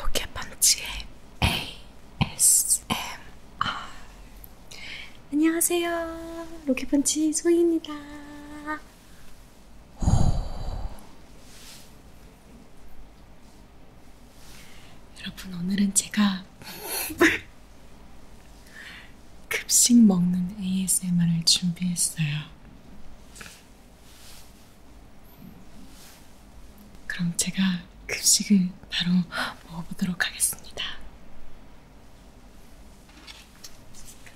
여기에 반지에 ASMR 안녕하세요 로켓펀치 소희입니다 여러분 오늘은 제가 급식 먹는 ASMR을 준비했어요. 그럼 제가 급식을 바로 먹어보도록 하겠습니다.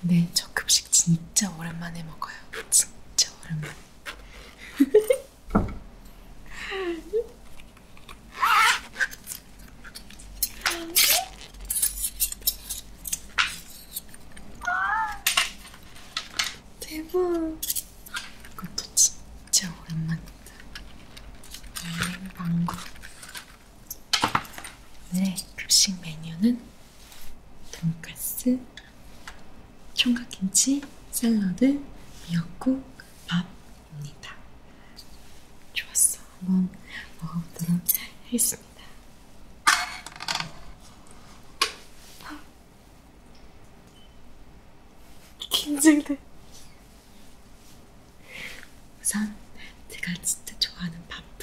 근데 저 급식 진짜 오랜만에 먹어요. 진짜 오랜만에. 대박. 이것도 진짜 오랜만이다. 음, 망고. 오늘의 네, 급식 메뉴는 돈가스, 총각김치, 샐러드, 미역국, 밥입니다. 좋았어. 한번 먹어보도록 하겠습니다. 긴장돼. 우선 제가 진짜 좋아하는 밥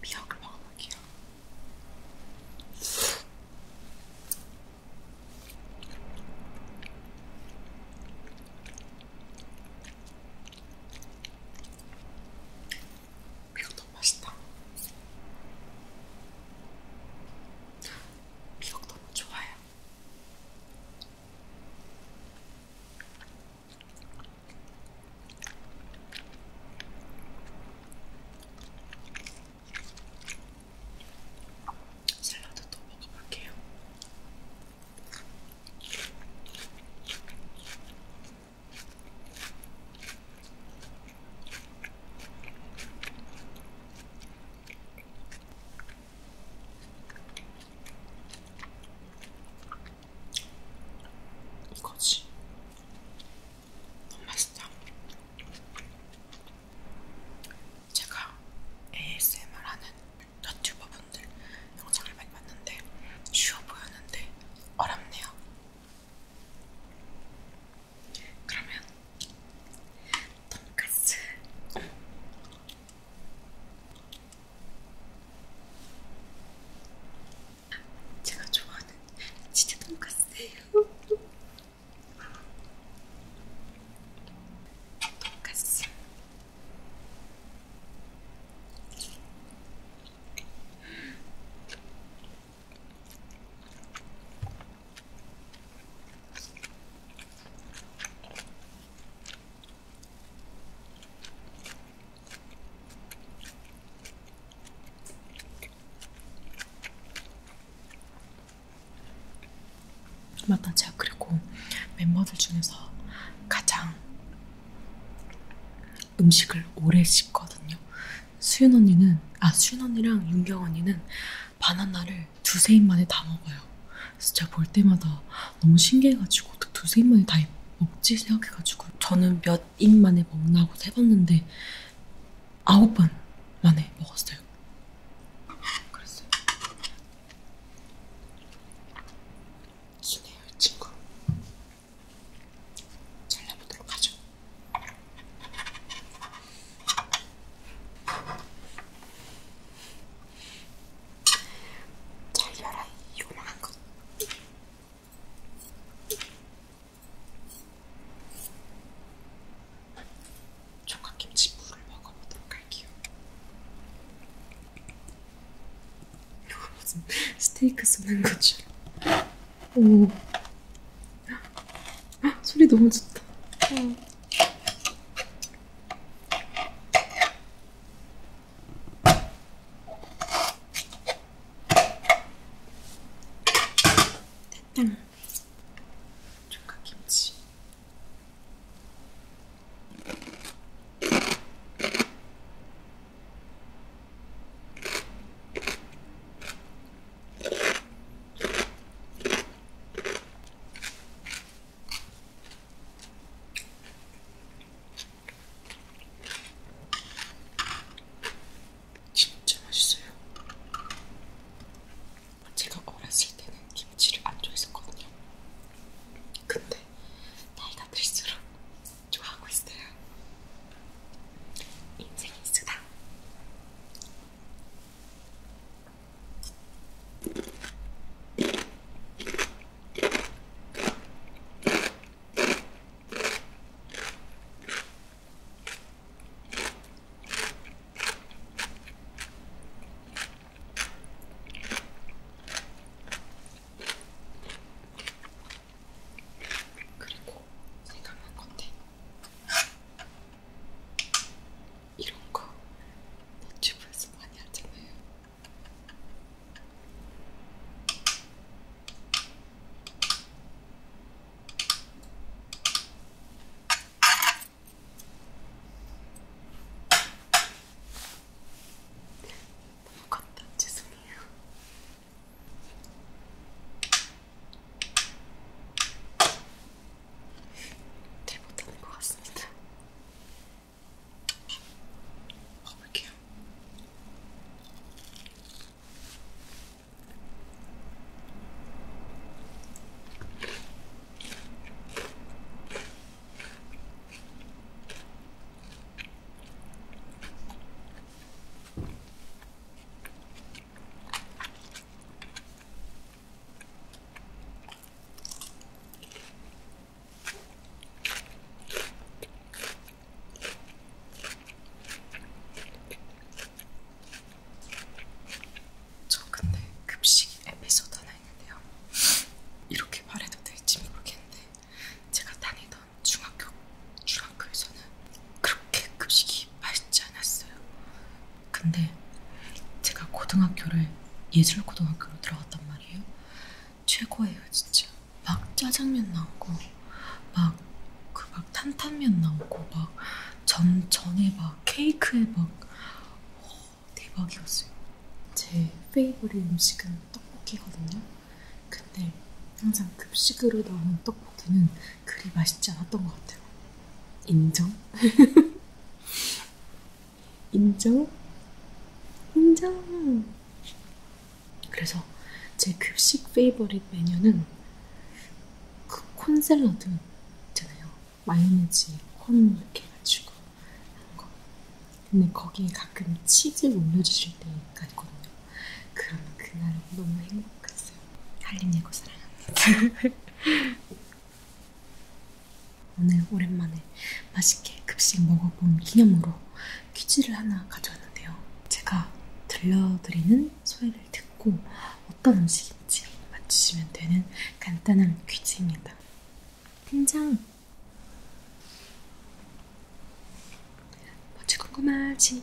미역을 먹어볼게요. 미역 너무 맛있다. 미역 너무 좋아요. 샐러드 또 먹어볼게요. 이거지. 너무 맛있다. 제가 ASMR 하는 유튜버분들 영상을 많이 봤는데 쉬워 보였는데 어렵네요. 그러면 돈까스 제가 좋아하는 치즈 돈까스예요. 돈까스. 맞다 제가 그리고 멤버들 중에서 가장 음식을 오래 씹거든요. 수윤 언니는 아 수윤 언니랑 윤경 언니는 바나나를 두세 입만에 다 먹어요. 그래서 제가 볼 때마다 너무 신기해가지고 어떻게 두세 입만에 다 먹지 생각해가지고 저는 몇 입만에 먹나고 세봤는데 아홉 번 만에 먹었어요. 그랬어요. 기네요 이 친구. 잘라보도록 하죠. 잘려라 요만한 거. 총각김치 물을 먹어보도록 할게요. 무슨 스테이크 쏘는 거죠? 오. 소리 너무 좋다. 응. 됐다. 조각김치. 진짜 맛있어요. 제가 어렸을 때는 김치를 안 좋아했었거든요. 근데 나이가 들수록 좋아하고 있어요. 인생의 수다. 그리고 생각난 건데 이런 거 너튜브에서 많이 하잖아요. 너무 컸다. 죄송해요. 잘 못하는 것 같습니다. 먹어볼게요. 저 근데 급식 에피소드 하나 있는데요. 이렇게 말해도 될지 모르겠는데 제가 다니던 중학교 중학교에서는 그렇게 급식이 맛있지 않았어요. 근데 제가 고등학교를 예술고등학교로 들어갔단 말이에요. 최고예요, 진짜. 막 짜장면 나오고, 막, 그막 탄탄면 나오고, 막, 전, 전에 막 케이크에 막, 오, 어, 대박이었어요. 제 페이보릿 음식은 떡볶이거든요. 근데 항상 급식으로 나오는 떡볶이는 그리 맛있지 않았던 것 같아요. 인정? 인정? 인정! 그래서 제 급식 그 페이버릿 메뉴는 그 콘샐러드 있잖아요. 마요네즈, 콘 이렇게 해가지고 하는 거. 근데 거기에 가끔 치즈 올려주실 때가 있거든요. 그러면 그날 너무 행복했어요. 달림예고 사랑합니다. 오늘 오랜만에 맛있게 급식 먹어본 기념으로 퀴즈를 하나 가져왔는데요. 제가 들려드리는 소리를 듣고 어떤 음식인지 맞추시면 되는 간단한 퀴즈입니다. 된장! 뭐지 궁금하지?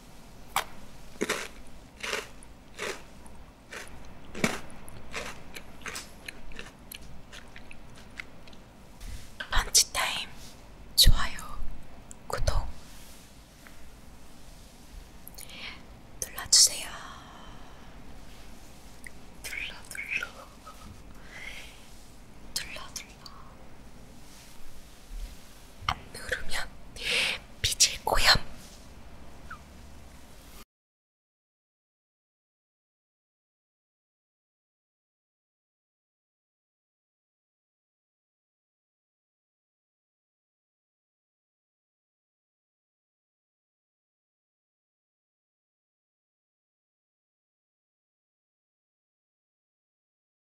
펀치타임 좋아요 구독 눌러주세요 눌러 눌러 눌러 눌러 안 누르면 빚을 고염.